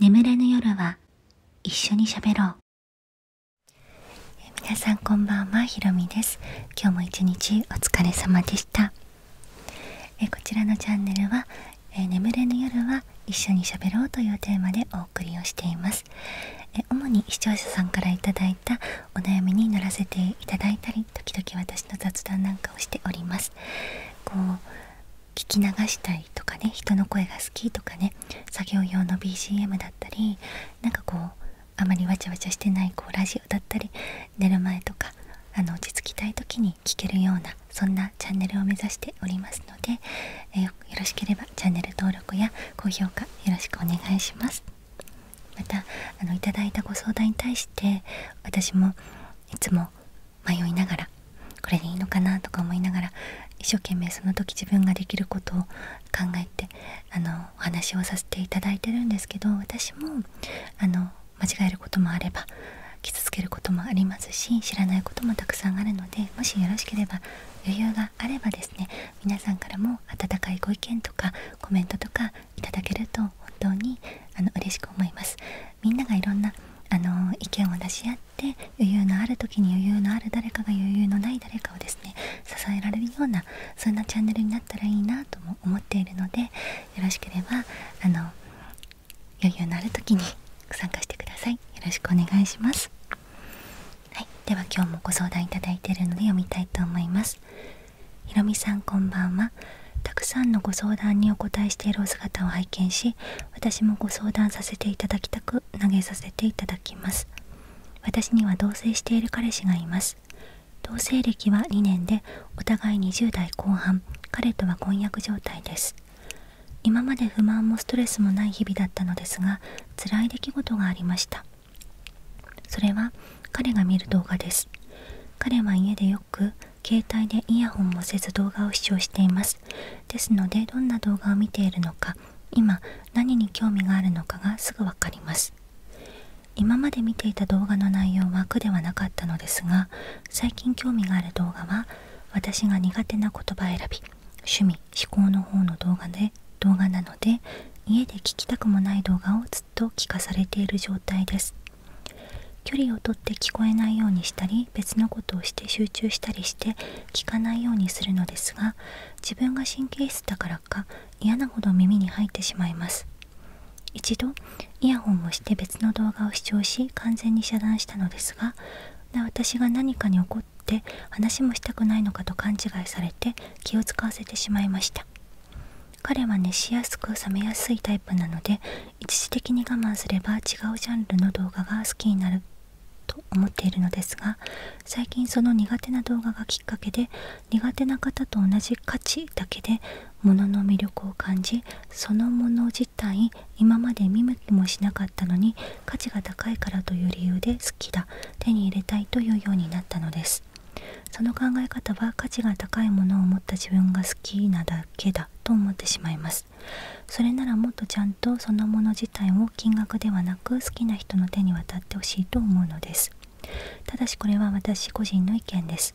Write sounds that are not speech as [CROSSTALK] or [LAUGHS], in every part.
眠れぬ夜は一緒に喋ろう皆さんこんばんはひろみです今日も一日お疲れ様でしたえこちらのチャンネルはえ眠れぬ夜は一緒に喋ろうというテーマでお送りをしていますえ主に視聴者さんから頂いたお悩みに乗らせていただいたり時々私の雑談なんかをしておりますこう聞き流したいとかね人の声が好きとかね作業用の BGM だったりなんかこうあまりわちゃわちゃしてないこうラジオだったり寝る前とかあの落ち着きたい時に聴けるようなそんなチャンネルを目指しておりますので、えよろしければチャンネル登録や高評価よろしくお願いしますまたあのいいたご相談に対して私もいつも迷いながらこれでいいのかなとか思いながら一生懸命その時自分ができることを考えてあのお話をさせていただいてるんですけど私もあの間違えることもあれば傷つけることもありますし知らないこともたくさんあるのでもしよろしければ余裕があればですね皆さんからも温かいご意見とかコメントとかいただけると本当にあの嬉しく思います。みんながいろんなあの意見を出し合っっ余裕のある時に余裕のある誰かが余裕のない誰かをですね支えられるようなそんなチャンネルになったらいいなとも思っているのでよろしければあの余裕のある時に参加してくださいよろしくお願いしますはいでは今日もご相談いただいているので読みたいと思いますひろみさんこんばんはたくさんのご相談にお答えしているお姿を拝見し私もご相談させていただきたく投げさせていただきます私には同棲している彼氏がいます同棲歴は2年でお互い20代後半彼とは婚約状態です今まで不満もストレスもない日々だったのですが辛い出来事がありましたそれは彼が見る動画です彼は家でよく携帯でイヤホンもせず動画を視聴していますですのでどんな動画を見ているのか今何に興味があるのかがすぐわかります今まで見ていた動画の内容は苦ではなかったのですが最近興味がある動画は私が苦手な言葉選び趣味思考の方の動画で動画なので家で聞きたくもない動画をずっと聞かされている状態です距離をとって聞こえないようにしたり別のことをして集中したりして聞かないようにするのですが自分が神経質だからか嫌なほど耳に入ってしまいます一度イヤホンをして別の動画を視聴し完全に遮断したのですが私が何かに怒って話もしたくないのかと勘違いされて気を使わせてしまいました彼は熱しやすく冷めやすいタイプなので一時的に我慢すれば違うジャンルの動画が好きになると思っているのですが最近その苦手な動画がきっかけで苦手な方と同じ価値だけで物のの魅力を感じそのもの自体今まで見向きもしなかったのに価値が高いからという理由で好きだ手に入れたいというようになったのですその考え方は価値が高いものを持った自分が好きなだけだと思ってしまいますそれならもっとちゃんとそのもの自体を金額ではなく好きな人の手に渡ってほしいと思うのですただしこれは私個人の意見です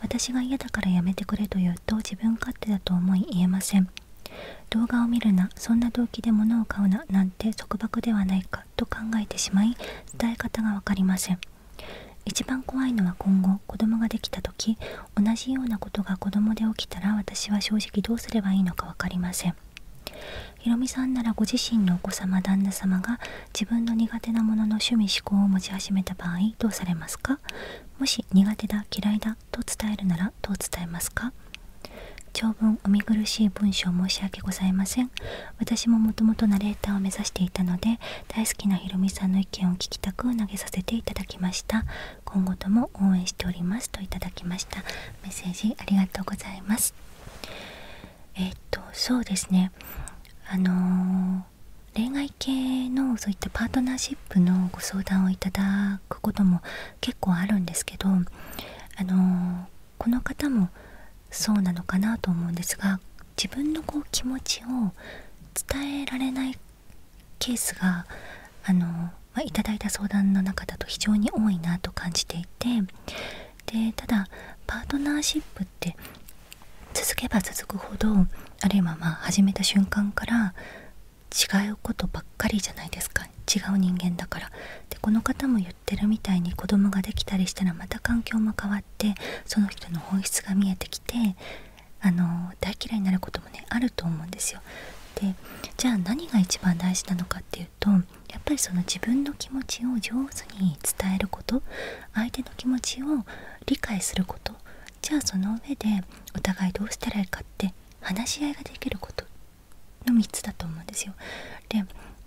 私が嫌だからやめてくれと言うと自分勝手だと思い言えません動画を見るなそんな動機で物を買うななんて束縛ではないかと考えてしまい伝え方が分かりません一番怖いのは今後子供ができた時同じようなことが子供で起きたら私は正直どうすればいいのか分かりませんひろみさんならご自身のお子様旦那様が自分の苦手なものの趣味思考を持ち始めた場合どうされますかもし苦手だ嫌いだと伝えるならどう伝えますか長文お見苦しい文章申し訳ございません私ももともとナレーターを目指していたので大好きなひろみさんの意見を聞きたく投げさせていただきました今後とも応援しておりますといきましたメッセージありがとうございますえっとそうですねあの恋愛系のそういったパートナーシップのご相談をいただくことも結構あるんですけどあのこの方もそうなのかなと思うんですが自分のこう気持ちを伝えられないケースがあの、まあ、いた相談の中だと非常に多いなと感じていてでただパートナーシップって続けば続くほどあるいはま始めた瞬間から違うことばっかりじゃないですか違う人間だからでこの方も言ってるみたいに子供ができたりしたらまた環境も変わってその人の本質が見えてきてあの大嫌いになることもねあると思うんですよ。でじゃあ何が一番大事なのかっていうとやっぱりその自分の気持ちを上手に伝えること相手の気持ちを理解することじゃあその上でお互いどうしたらいいかって話し合いができることの3つだと思うんですよ。で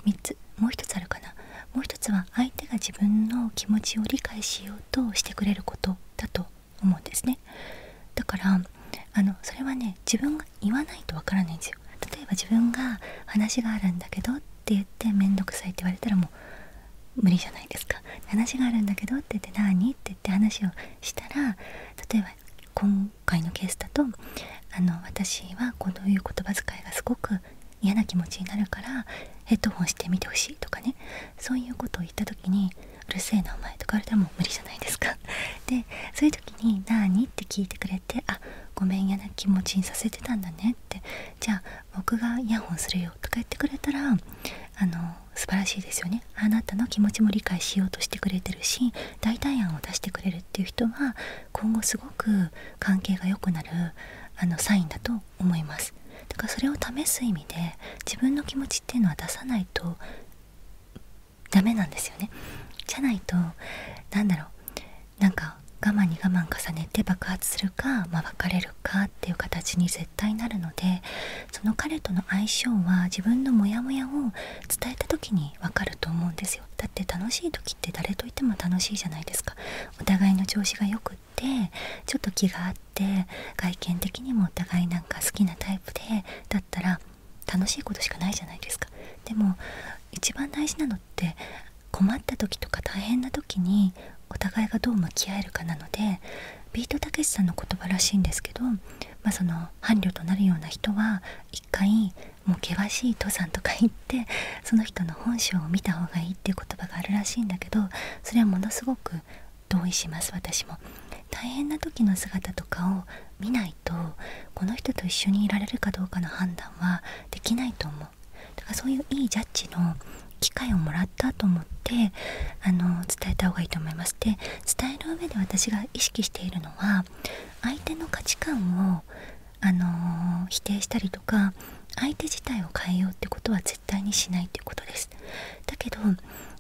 3つもう1つあるかなもう1つは相手が自分の気持ちを理解しようとしてくれることだと思うんですねだからあのそれはね自分が言わないとわからないんですよ例えば自分が話があるんだけどって言って面倒くさいって言われたらもう無理じゃないですか話があるんだけどって言って何って言って話をしたら例えば今回のケースだとあの私はこういう言葉遣いがすごく嫌な気持ちになるからヘッドホンしてみてほしいとかねそういうことを言った時に「うるせえなお前」とかでも無理じゃないですか [LAUGHS] でそういう時に「なーに?」って聞いてくれて「あごめんやな気持ちにさせてたんだね」って「じゃあ僕がイヤホンするよ」とか言ってくれたらあの素晴らしいですよねあなたの気持ちも理解しようとしてくれてるし代替案を出してくれるっていう人は今後すごく関係が良くなるあのサインだと思いますだからそれを試す意味で自分の気持ちっていうのは出さないとダメなんですよねじゃないとなんだろうなんか我慢に我慢重ねて爆発するか、ま別れるかっていう形に絶対なるのでその彼との相性は自分のモヤモヤを伝えた時に分かると思うんですよだって楽しい時って誰といても楽しいじゃないですかお互いの調子がくちょっと気があって外見的にもお互いなんか好きなタイプでだったら楽しいことしかないじゃないですか。でも一番大事なのって困った時とか大変な時にお互いがどう向き合えるかなのでビートたけしさんの言葉らしいんですけど、まあ、その伴侶となるような人は一回もう険しい登山とか行ってその人の本性を見た方がいっていう言葉があるらしいんだけどそれはものすごく同意します私も大変な時の姿とかを見ないとこの人と一緒にいられるかどうかの判断はできないと思うだからそういういいジャッジの機会をもらったと思ってあの伝えた方がいいと思いますで伝える上で私が意識しているのは相手の価値観をあの否定したりとか相手自体を変えようってことは絶対にしないということですだけど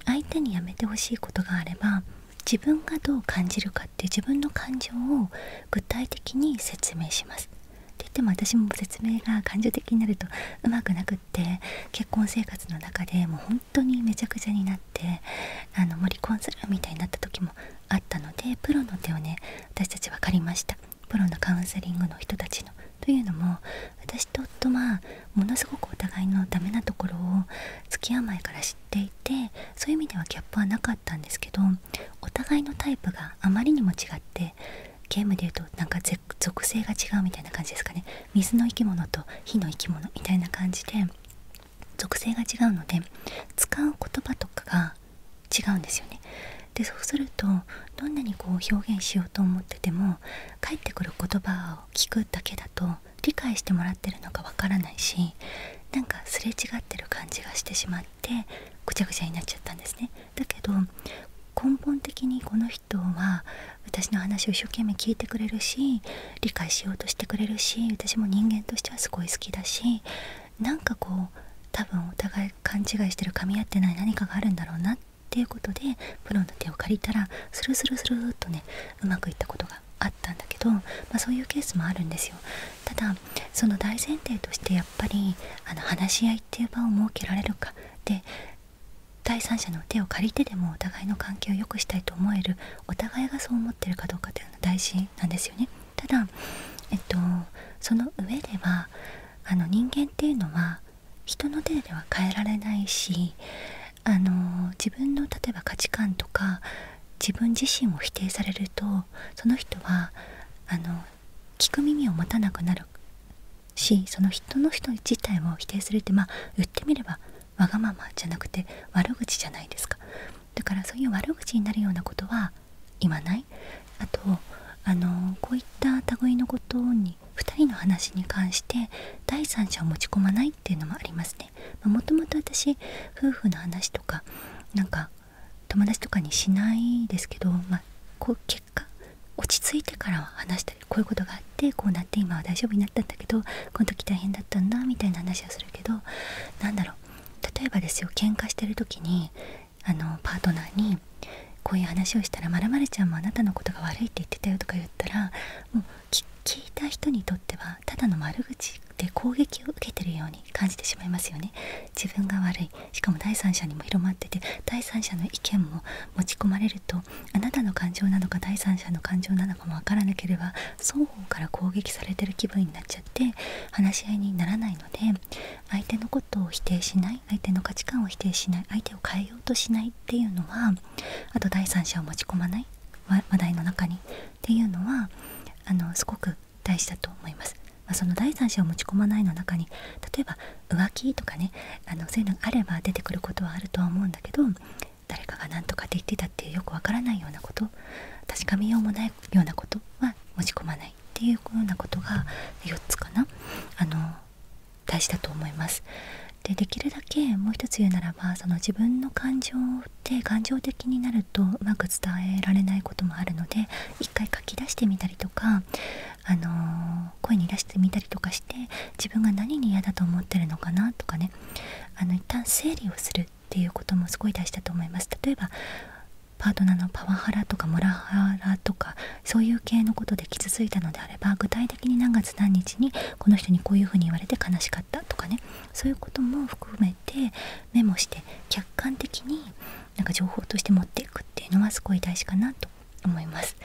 相手にやめてほしいことがあれば自分がどう感じるかって自分の感情を具体的に説明しますって言っても私も説明が感情的になるとうまくなくって結婚生活の中でもう本当にめちゃくちゃになってあのもう離婚するみたいになった時もあったのでプロの手をね私たち分かりましたプロのカウンセリングの人たちのというのも私と夫はものすごくお互いのダメなところを付き合う前から知っていてそういう意味ではギャップはなかったんですけどお互いのタイプがあまりにも違ってゲームで言うとなんか属性が違うみたいな感じですかね水の生き物と火の生き物みたいな感じで属性が違うので使う言葉とかが違うんですよねでそうするとどんなにこう表現しようと思ってても返ってくる言葉を聞くだけだと理解してもらってるのか分からないしなんかすれ違ってる感じがしてしまってぐちゃぐちゃになっちゃったんですね。だけど根本的にこの人は私の話を一生懸命聞いてくれるし理解しようとしてくれるし私も人間としてはすごい好きだしなんかこう多分お互い勘違いしてる噛み合ってない何かがあるんだろうなっていうことでプロの手を借りたらスルスルスルっとねうまくいったことがあったんだけど、まそういうケースもあるんですよただその大前提としてやっぱりあの話し合いっていう場を設けられるかで第三者の手を借りてでもお互いの関係を良くしたいと思えるお互いがそう思ってるかどうかっていうのは大事なんですよねただえっとその上ではあの人間っていうのは人の手では変えられないしあの自分の例えば価値観とか自分自身を否定されるとその人はあの聞く耳を持たなくなるしその人の人自体を否定するってま言ってみればわがままじゃなくて悪口じゃないですかだからそういう悪口になるようなことは言わないあとあのこういった類のことに2人の話に関して第三者を持ち込まないっていうのもありますね、まあ、もともと私夫婦の話とかなんか友達とかにしないですけど、まこう結果落ち着いてからは話したりこういうことがあってこうなって今は大丈夫になったんだけどこの時大変だったんだみたいな話はするけど何だろう例えばですよ喧嘩してる時にあのパートナーにこういう話をしたら「まるちゃんもあなたのことが悪いって言ってたよ」とか言ったらもう聞いた人にとってはただの悪口で攻撃を受けてるように感じてしまいますよね。自分が悪いしかも第三者にも広まってて第三者の意見も持ち込まれるとあなたの感情なのか第三者の感情なのかも分からなければ双方から攻撃されてる気分になっちゃって話し合いにならないので相手のこ相手の価値観を否定しない相手を変えようとしないっていうのはあと第三者を持ち込まない話題の中にっていうのはあのすごく大事だと思います。まその第三者を持ち込まないの中に例えば浮気とかねあのそいうあれば出てくることはあるとは思うんだけど誰かが何とかって言ってたっよくわからないようなこと確かめようもないようなことはないっていうようなことが4つかなあの大事だと思います。でできるだけもう一つ言うならばその自分の感情って感情的になるとうまく伝えられないこともあるので一回書き出してみたりとか、あの声に出してみたりとかして自分が何に嫌だと思ってるのかなとかねあの一旦整理をするっていうこともすごい大事だと思います。例えばパートナーのパワハラとかモラハラとかそういう系のことで傷ついたのであれば具体的に何月何日にこの人にこういうふうに言われて悲しかったとかねそういうことも含めてメモして客観的になんか情報として持っていくっていうのはすごい大事かなと思います。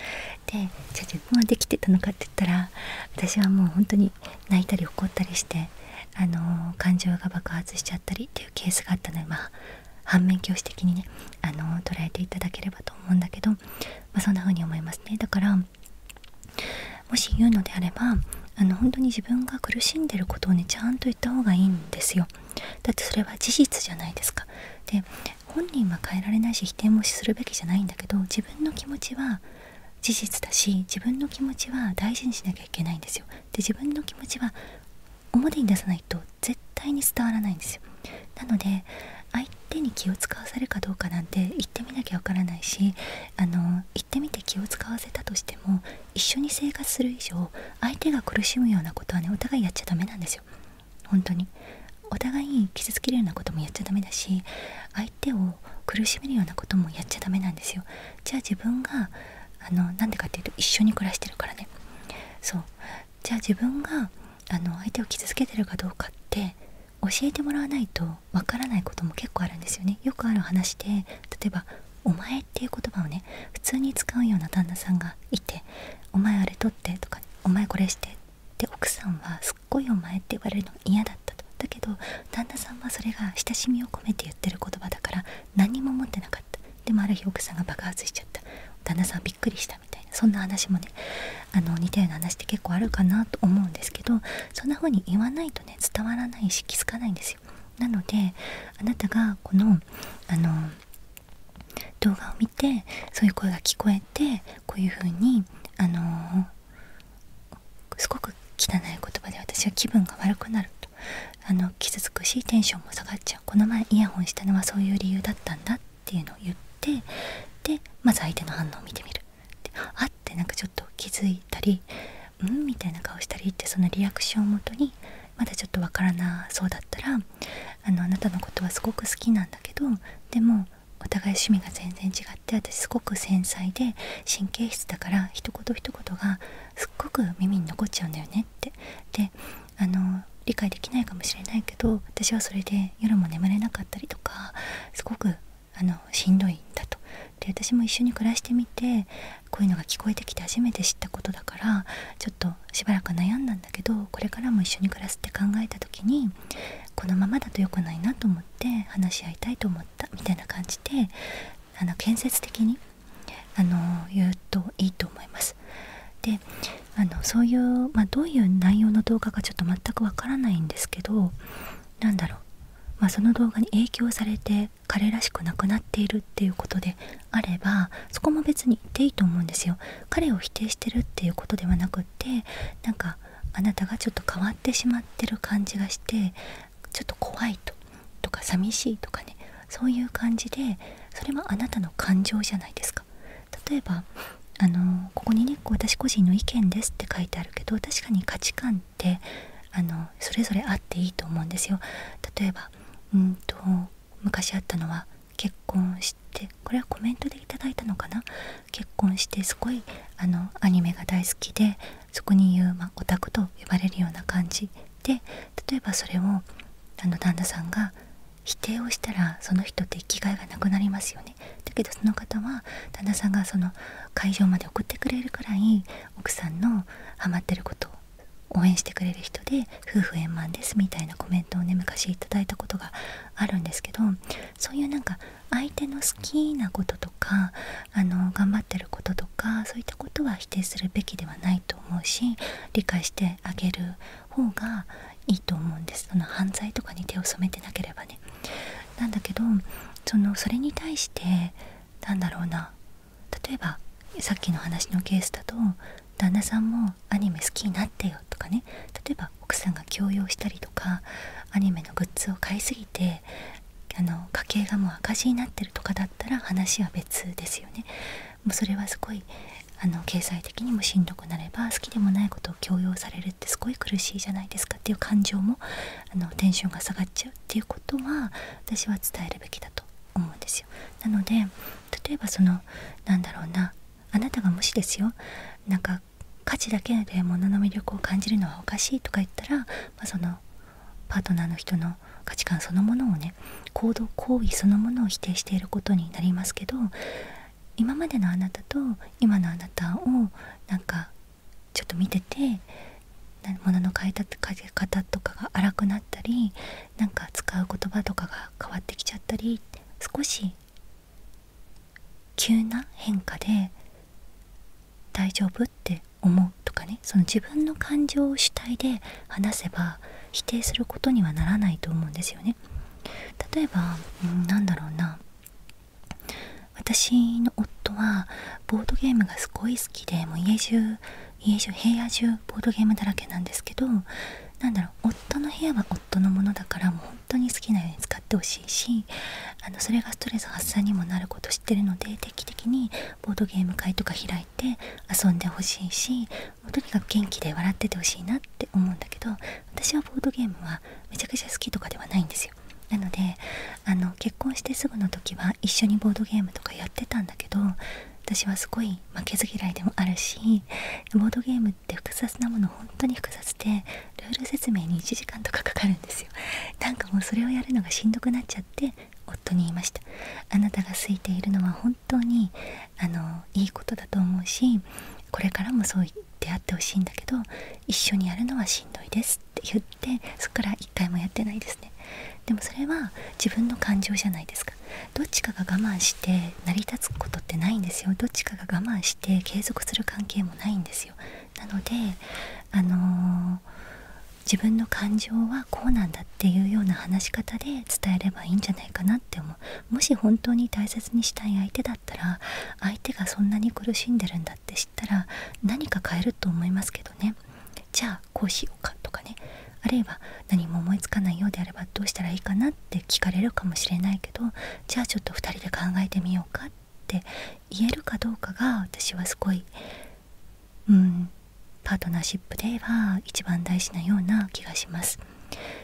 でじゃあ自分はできてたのかって言ったら私はもう本当に泣いたり怒ったりして。あの感情が爆発しちゃったりっていうケースがあったのでまあ反面教師的にねあの捉えていただければと思うんだけど、まあ、そんな風に思いますねだからもし言うのであればあの本当に自分が苦しんでることをねちゃんと言った方がいいんですよだってそれは事実じゃないですかで本人は変えられないし否定もするべきじゃないんだけど自分の気持ちは事実だし自分の気持ちは大事にしなきゃいけないんですよで自分の気持ちは表に出さないと絶対に伝わらないんですよなので相手に気を使わせるかどうかなんて言ってみなきゃわからないしあの言ってみて気を使わせたとしても一緒に生活する以上相手が苦しむようなことはねお互いやっちゃダメなんですよ本当にお互いに傷つけるようなこともやっちゃダメだし相手を苦しめるようなこともやっちゃダメなんですよじゃあ自分があのなんでかっていうと一緒に暮らしてるからねそうじゃあ自分があの相手を傷つけてるかどうかって教えてもらわないとわからないことも結構あるんですよねよくある話で例えば「お前」っていう言葉をね普通に使うような旦那さんがいて「お前あれ取って」とか「お前これして」で奥さんはすっごい「お前」って言われるの嫌だったとだけど旦那さんはそれが親しみを込めて言ってる言葉だから何も持ってなかったでもある日奥さんが爆発しちゃった旦那さんびっくりしたみたいなそんな話もねあの似たような話って結構あるかなと思うんですけどそんな風に言わないとね伝わらないし気づかないんですよなのであなたがこのあの動画を見てそういう声が聞こえてこういう風にあのすごく汚い言葉で私は気分が悪くなるあの傷つくしテンションも下がっちゃうこの前イヤホンしたのはそういう理由だったんだっていうのを言ってでまず相手の反応を見てみるであってなんかちょっと気づいたりうんみたいな顔したりってそのリアクションをもとにまだちょっとわからなそうだったらあのあなたのことはすごく好きなんだけどでもお互い趣味が全然違って私すごく繊細で神経質だから一言一言がすっごく耳に残っちゃうんだよねってであの理解できないかもしれないけど私はそれで夜も眠れなかったりとかすごくあのしんどいんだとで私も一緒に暮らしてみてこういうのが聞こえてきて初めて知ったことだからちょっとしばらく悩んだんだけどこれからも一緒に暮らすって考えた時にこのままだと良くないなと思って話し合いたいと思ったみたいな感じであの建設的にあの言うといいと思います。であのそういう、まあ、どういう内容の動画かちょっと全くわからないんですけどなんだろう、まあ、その動画に影響されて彼らしくなくなっているっていうことであればそこも別に言っていいと思うんですよ。彼を否定してるっていうことではなくってなんかあなたがちょっと変わってしまってる感じがしてちょっと怖いととか寂しいとかねそういう感じでそれはあなたの感情じゃないですか例えばあのここにね私個人の意見ですって書いてあるけど確かに価値観ってあのそれぞれあっていいと思うんですよ例えばうんと昔あったのは結婚してこれはコメントで頂いたのかな結婚してすごいあのアニメが大好きでそこに言う、まオタクと呼ばれるような感じで例えばそれをあの旦那さんが否定をしたらその人って生きがいがなくなりますよねだけどその方は旦那さんがその会場まで送ってくれるくらい奥さんのハマってることを応援してくれる人で夫婦円満ですみたいなコメントをね昔頂いたことがあるんですけどそういうなんか相手の好きなこととかあの頑張ってることとかそういったことは否定するべきではないと思うし理解してあげる方がいいと思うんですその犯罪とかに手を染めてなければね。なんだけどそのそれに対してなんだろうな例えばさっきの話のケースだと旦那さんもアニメ好きになってよとかね例えば奥さんが強要したりとかアニメのグッズを買いすぎてあの家計がもう赤字になってるとかだったら話は別ですよね。もうそれはすごいあの経済的にもしんどくなれば好きでもないことを強要されるってすごい苦しいじゃないですかっていう感情もあのテンションが下がっちゃうっていうことは私は伝えるべきだと思うんですよ。なので例えばそのなんだろうなあなたがもしですよなんか価値だけで物の魅力を感じるのはおかしいとか言ったら、まそのパートナーの人の価値観そのものをね行動行為そのものを否定していることになりますけど今までのあなたと今のあなたをなんかちょっと見てて物の変え方とかが荒くなったりなんか使う言葉とかが変わってきちゃったり少し急な変化で大丈夫って思うとかねその自分の感情を主体で話せば否定することにはならないと思うんですよね。例えば、うん、なだろうな私の夫はボードゲームがすごい好きでもう家中家中部屋中ボードゲームだらけなんですけど何だろう夫の部屋は夫のものだからもう本当に好きなように使ってほしいしあのそれがストレス発散にもなること知ってるので定期的にボードゲーム会とか開いて遊んでほしいしとにかく元気で笑っててほしいなって思うんだけど私はボードゲームはめちゃくちゃ好きとかではないんですよなのであの結婚してすぐの時は一緒にボードゲームとかやってたんだけど私はすごい負けず嫌いでもあるしボードゲームって複雑なもの本当に複雑でルール説明に1時間とかかかるんですよなんかもうそれをやるのがしんどくなっちゃって夫に言いましたあなたが好いているのは本当にあのいいことだと思うしこれからもそう言ってあってほしいんだけど一緒にやるのはしんどいですって言ってそっから一回もやってないですねでもそれは自分の感情じゃないですかどっちかが我慢して成り立つことってないんですよどっちかが我慢して継続する関係もないんですよなのであの自分の感情はこうなんだっていうような話し方で伝えればいいんじゃないかなって思うもし本当に大切にしたい相手だったら相手がそんなに苦しんでるんだって知ったら何か変えると思いますけどねじゃあこうしようかとかねあるいは何も思いつかないようであればどうしたらいいかなって聞かれるかもしれないけどじゃあちょっと2人で考えてみようかって言えるかどうかが私はすごいうんパートナーシップでは一番大事なような気がします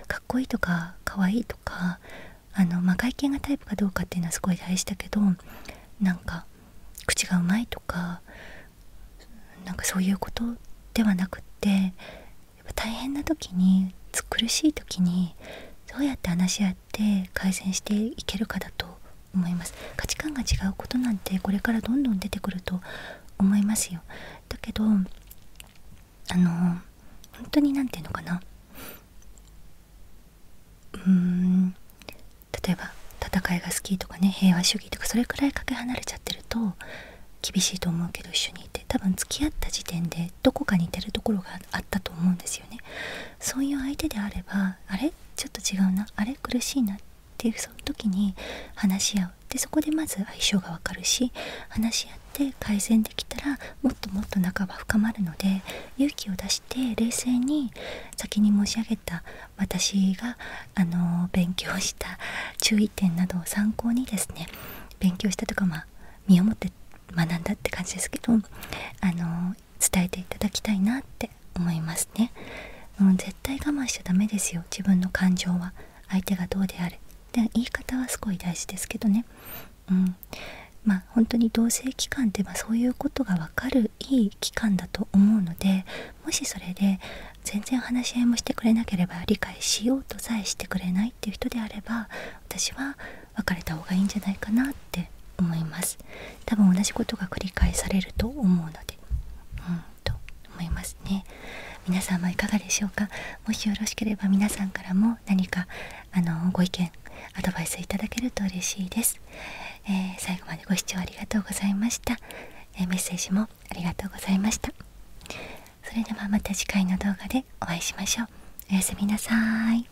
かっこいいとかかわいいとかあの、ま外見がタイプかどうかっていうのはすごい大事だけどなんか口がうまいとかなんかそういうことではなくってやっぱ大変な時に苦しい時にどうやって話し合って改善していけるかだと思います価値観が違うことなんてこれからどんどん出てくると思いますよだけどあの本当に何て言うのかなうーん例えば戦いが好きとかね平和主義とかそれくらいかけ離れちゃってると厳しいと思うけど一緒にいて多分付き合った時点でどこか似てるところがあったと思うんですよねそういう相手であればあれちょっと違うなあれ苦しいなっていうその時に話し合うでそこでまず相性が分かるし話し合って改善できたらもっともっと仲は深まるので勇気を出して冷静に先に申し上げた私があの勉強した注意点などを参考にですね勉強したとかま身をもって学んだって感じですけどあの伝えていただきたいなって思いますね、うん、絶対我慢しちゃダメですよ自分の感情は相手がどうであれで言い方はすごい大事ですけどねうんまあ本当に同性期間ってまあそういうことが分かるいい期間だと思うのでもしそれで全然話し合いもしてくれなければ理解しようとさえしてくれないっていう人であれば私は別れた方がいいんじゃないかなっって思います多分同じことが繰り返されると思うのでうんと思いますね皆さんはいかがでしょうかもしよろしければ皆さんからも何かあのご意見アドバイスいただけると嬉しいです、え最後までご視聴ありがとうございました、えメッセージもありがとうございましたそれではまた次回の動画でお会いしましょうおやすみなさーい